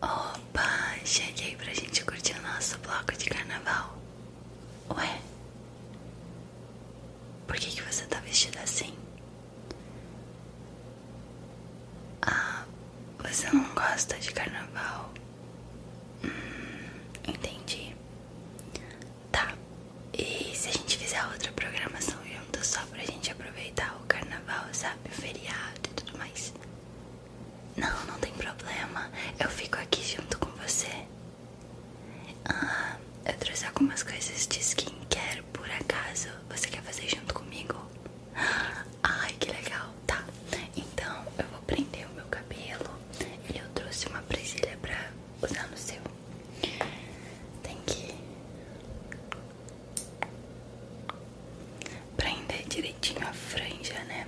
Opa, cheguei pra gente curtir o nosso bloco de carnaval. Ué? Por que, que você tá vestida assim? Ah, você não gosta de carnaval? Hum, entendi. Tá. E se a gente fizer outra programação junto só pra gente aproveitar o carnaval, sabe? O feriado e tudo mais? Não, não tem problema. Eu fico aqui junto com você. Ah, eu trouxe algumas coisas de skincare por acaso. Você quer fazer junto comigo? Ai, que legal. Tá. Então, eu vou prender o meu cabelo. E eu trouxe uma presilha pra usar no seu. Tem que prender direitinho a franja, né?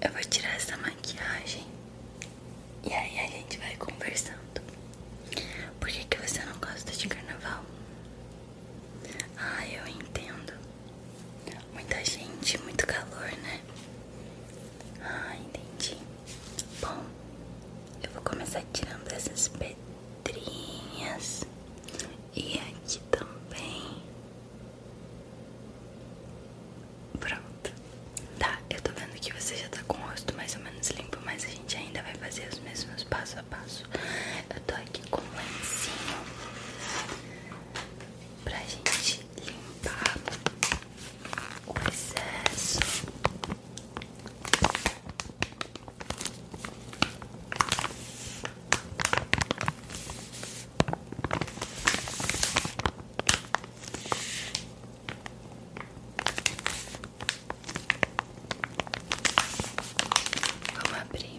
Eu vou tirar essa maquiagem e aí a gente vai conversando. Por que, que você não gosta de carnaval? Ah, eu entendo. Muita gente, muito calor, né? Ah, entendi. Bom, eu vou começar tirando essas pedrinhas e aqui também. Pronto. Tá, eu tô vendo que você já tá com o rosto mais ou menos limpo, mas a gente ainda vai fazer os mesmos passo a passo. Eu tô aqui com um lencinho pra gente limpar o excesso. Vamos abrir.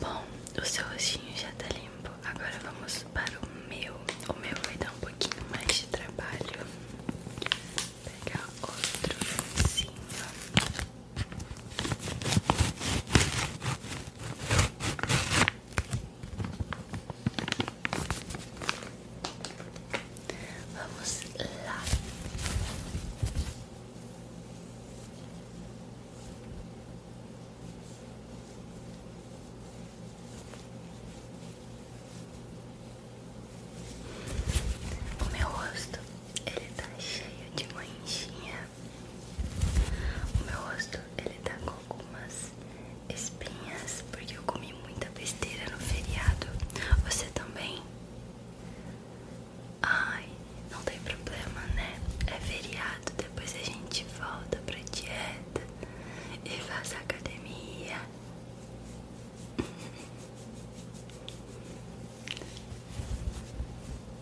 Bom, o seu rostinho já tá limpo. Agora vamos para o meu. O meu vai dar um pouquinho mais de trabalho. Pegar outro lencinho. Vamos lá. O meu rosto ele tá cheio de manchinha o meu rosto, ele tá com algumas espinhas, porque eu comi muita besteira no feriado. Você também? Ai, não tem problema, né? É feriado, depois a gente volta pra dieta e faz academia.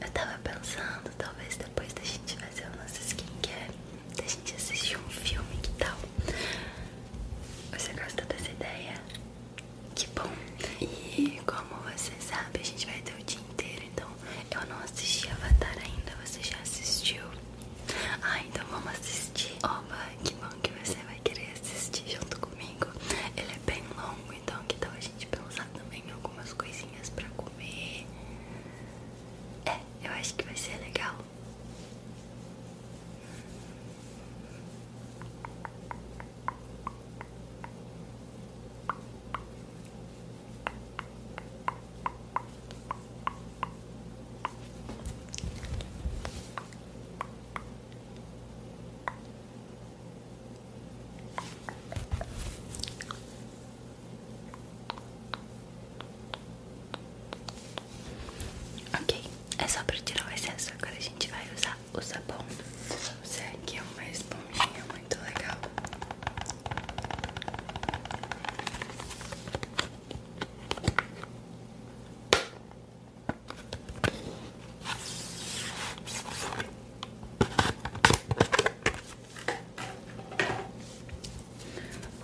Eu tava pensando, talvez depois da gente fazer o nosso skincare, da gente assistir um filme, e tal? Você gosta dessa ideia? Que bom. E como você sabe, a gente vai ter o dia inteiro, então eu não assisti Avatar ainda. Você já assistiu? Ah, então vamos assistir. Oba, que bom que você vai querer assistir junto comigo. Ele é bem longo, então que tal a gente pensar também em algumas coisinhas pra comer? É, eu acho que vai ser legal. Ok, é só para tirar o Agora a gente vai usar o sabão. Esse é aqui é uma esponjinha muito legal.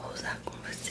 Vou usar com você.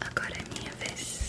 Agora é minha vez.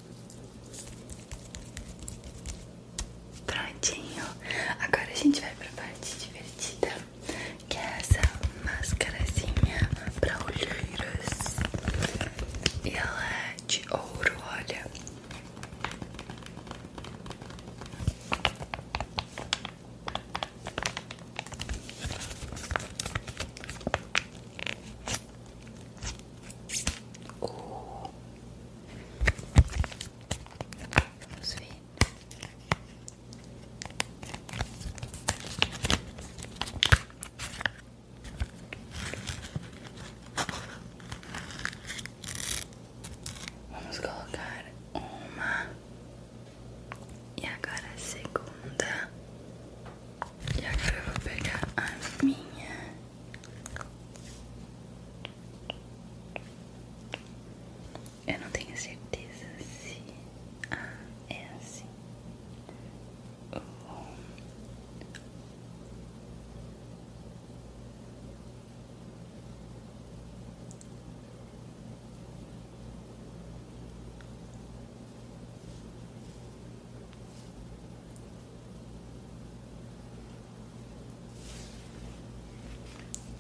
Prontinho. Agora a gente vai pra parte divertida, que é essa máscarazinha pra olheiras. E ela é de ouro, olha o... Vamos ver. Vamos colocar uma e agora a segunda. E agora eu vou pegar a minha eu não tenho certeza se é assim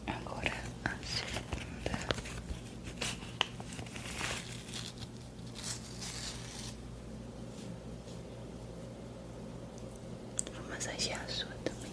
Agora a segunda. Vou massagear a sua também.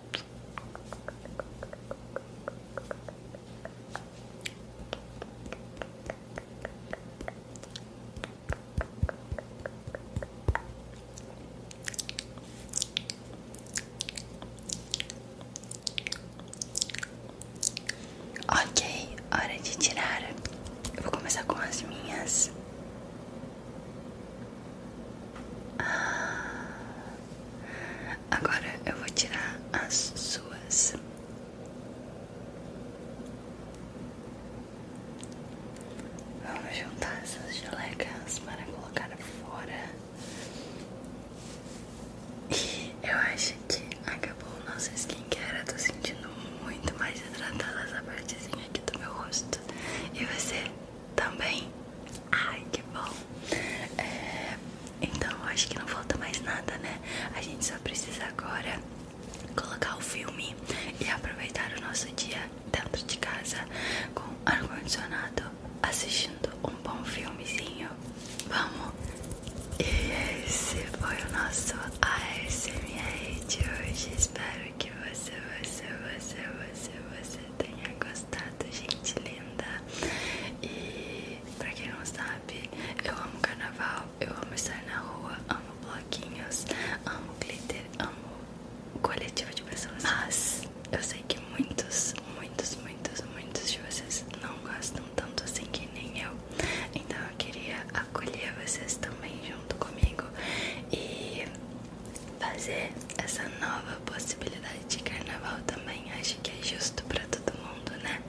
Ok, hora de tirar. vou começar com as minhas ah, agora eu vou tirar as suas. Vamos juntar essas gelecas para colocar fora. E eu acho que acabou o nosso skincare. Eu tô sentindo muito mais hidratada essa partezinha aqui do meu rosto. E você? também. Ai, que bom. É, então, acho que não falta mais nada, né? A gente só precisa agora colocar o filme e aproveitar o nosso dia dentro de casa com ar-condicionado, assistindo um bom filmezinho. Vamos! E esse foi o nosso ASMR de hoje. Espero que você, você, você, você, você tenha gostado, gente linda. E pra quem não sabe, eu amo carnaval, eu amo estar na rua, amo bloquinhos, amo glitter, amo coletivo de pessoas. Mas eu sei que muitos, muitos, muitos, muitos de vocês não gostam tanto assim que nem eu. Então eu queria acolher vocês também junto comigo e fazer essa nova possibilidade de carnaval também. Acho que é justo para todo mundo, né?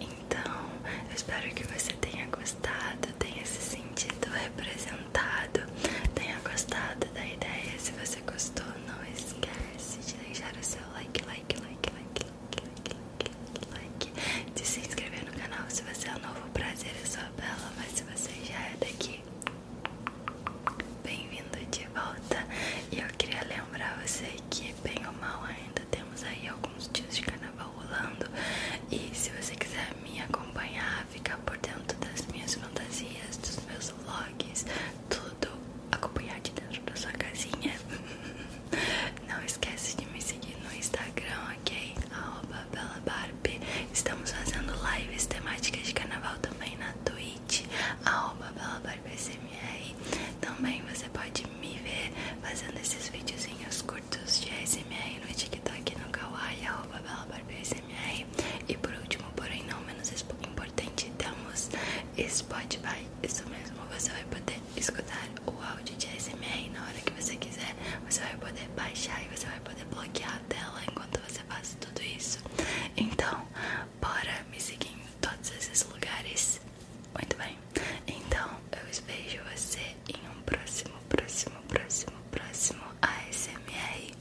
Então, eu espero que você tenha gostado, tenha se sentido representado, tenha gostado da ideia. Se você gostou, não esquece de deixar o seu like, like, like, like, like, like, like, like. de se inscrever no canal se você é novo. Prazer, eu é sou a Bela, mas se você já é daqui, Bem-vindo de volta. E eu queria lembrar você que, bem ou mal, ainda temos aí alguns dias de carnaval rolando. E se você quiser me acompanhar, ficar por dentro das minhas fantasias, dos meus vlogs, tudo acompanhar de dentro da sua casinha. Não esquece de me seguir no Instagram, ok? Arroba Bela Paula Estamos fazendo lives temáticas de carnaval também na Twitch, arroba Também você pode me ver fazendo esses videozinhos curtos de ASMR no TikTok, no Kawaii, arroba E por último, porém não menos importante, temos Spotify. Isso mesmo, você vai poder escutar o áudio de ASMR na hora que você quiser. Você vai poder baixar e você vai poder bloquear tela enquanto você faz tudo isso. Então, bora me seguir em todos esses lugares. Muito bem. Então, eu vejo você em um próximo, próximo, próximo, próximo ASMR.